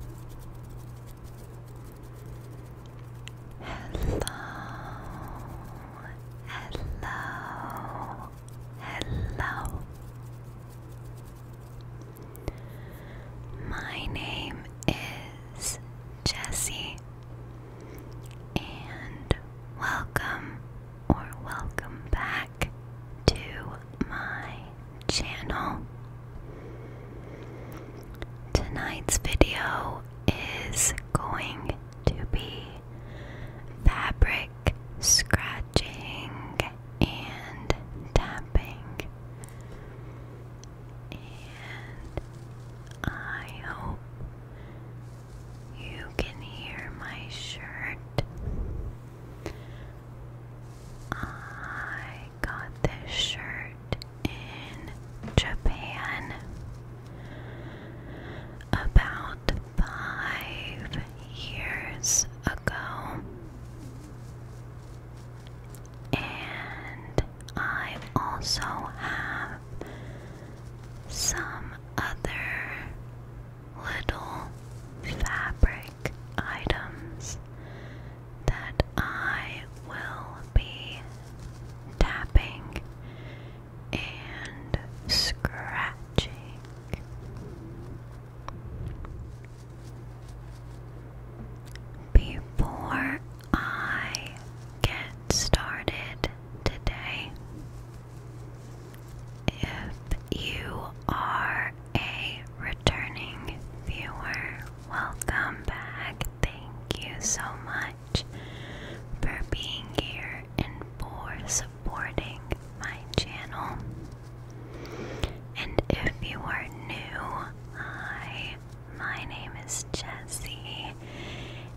hello, hello. My name is Jessie, and welcome or welcome back to my channel. Tonight's video is going to be fabric scratching and tapping. And I hope you can hear my shirt. I got this shirt in Japan about five years ago, and I also have some other little fabric items that I will be tapping and scratching. Before I get started today, if you are a returning viewer, welcome back. Thank you so much for being here and for supporting my channel. And if you are new, hi, my name is Jessie,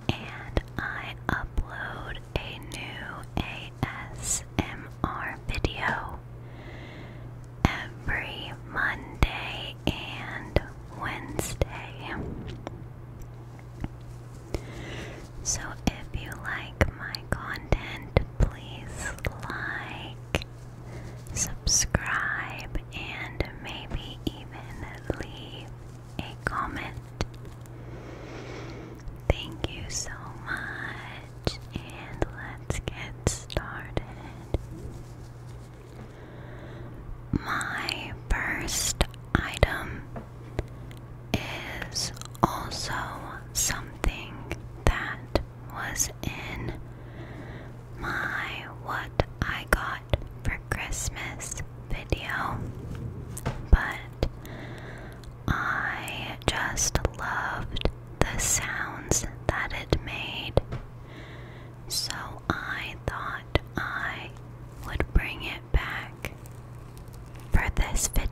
and I upload a new ASMR video every Monday and Wednesday. So if you like my content, please like, subscribe, and maybe even leave a comment. Thank you so much and let's get started. My first item is also something that was in my What I Got for Christmas video, but I just loved the sounds that it made, so I thought I would bring it back for this video.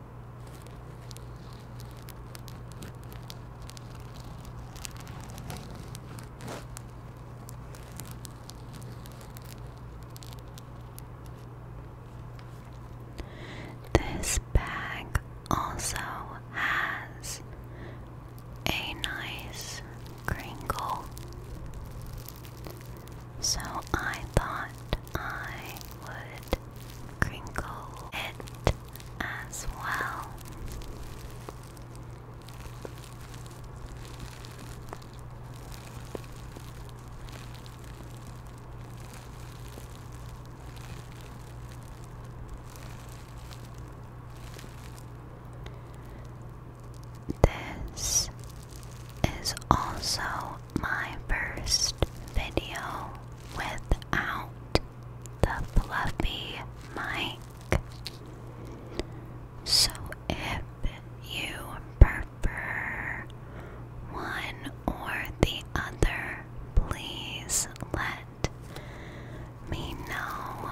This bag also has a nice crinkle so I thought I would crinkle it as well. This is also my first video without the fluffy mic. So if you prefer one or the other, please let me know.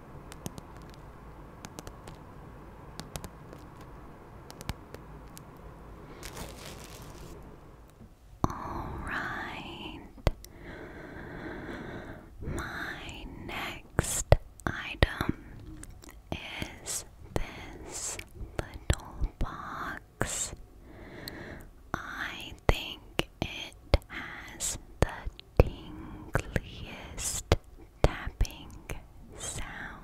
All right. My next item is this little box. I think it has the tingliest tapping sound.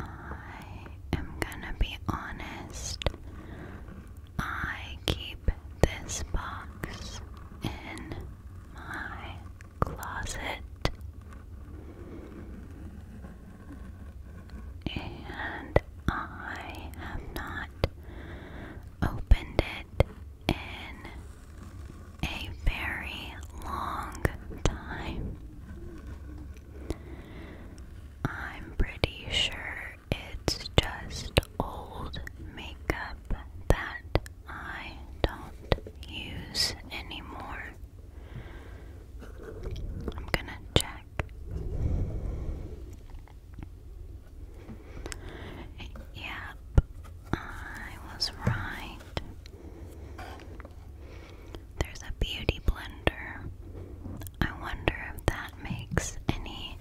I am gonna be honest, I keep this box in my closet. And I have not opened it in a very long time. I'm pretty sure it's just old makeup that I don't use anymore. I'm gonna check. Yep, I was right. There's a beauty blender. I wonder if that makes any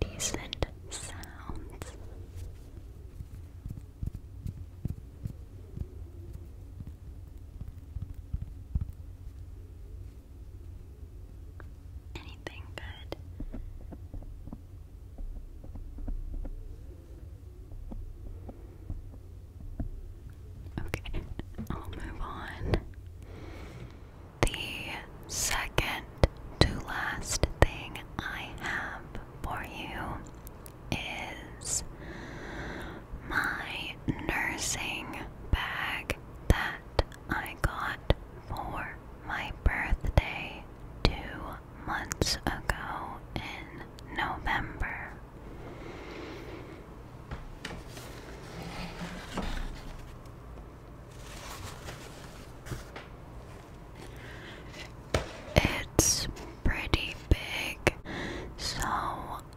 decent sounds. Anything good? Okay, I'll move on. The second to last thing I have for you is my nursing bag that I got for my birthday two months ago in November. It's pretty big, so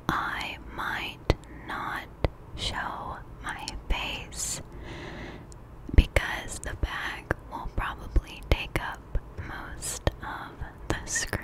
I might not show my face because the bag will probably take up most of the screen.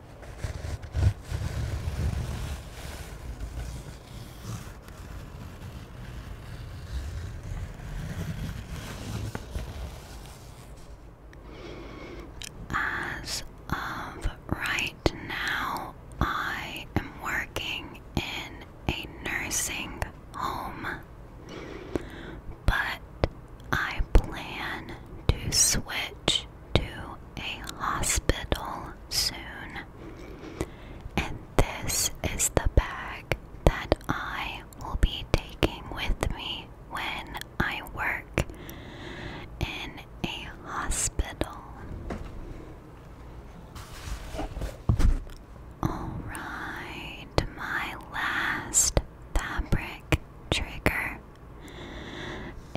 As of right now, I am working in a nursing home, but I plan to switch to a hospital soon. And this is the bag that I will be taking with me when I work in a hospital. Alright, my last fabric trigger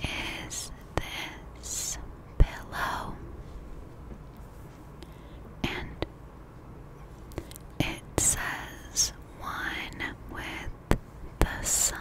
is this pillow? And it says one with the sun.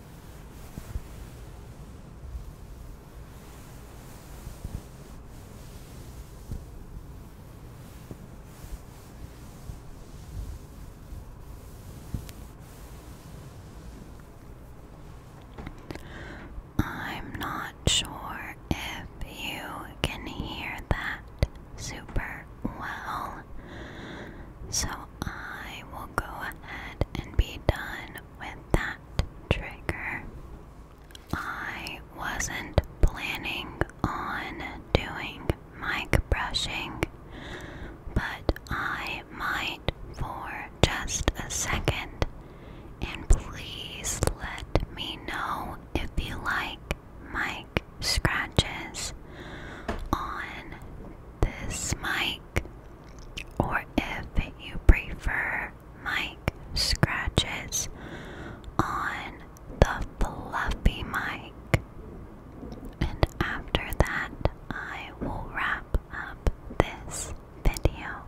I'm not sure if you can hear that, Super well. So I will go ahead and be done with that trigger. I wasn't planning on doing mic brushing, but I might for just a second. And please let me know if you like mic scratches on this mic, or if you prefer mic scratches on the fluffy mic. And after that, I will wrap up this video.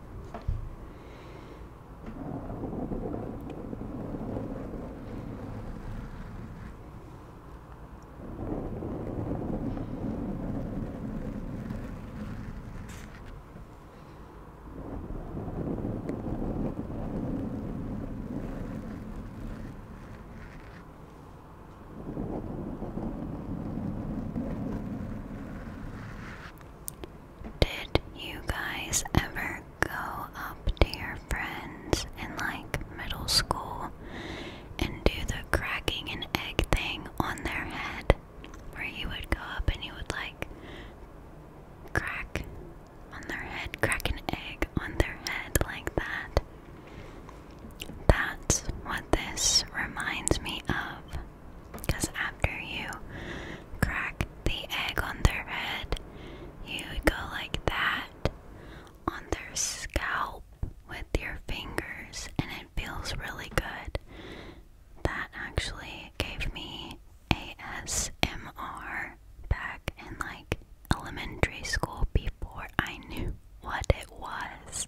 Did you guys ever go up to your friends in like middle school and do the cracking an egg thing on their head, where you would go up and you would like crack on their head, crack an egg on their head like that. That's what this reminds me of. Because after you crack the egg on their head, you would go like that on their scalp with your fingers and it feels really good. That actually gave me ASMR back in like elementary school before I knew what it was.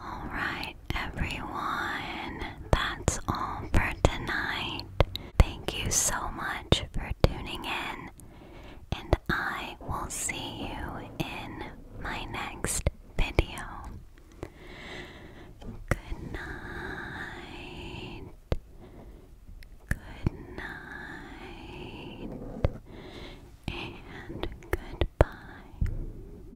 Alright, everyone, that's all for tonight. Thank you so much for tuning in, and I will see you in my next video. Good night. Good night. And goodbye.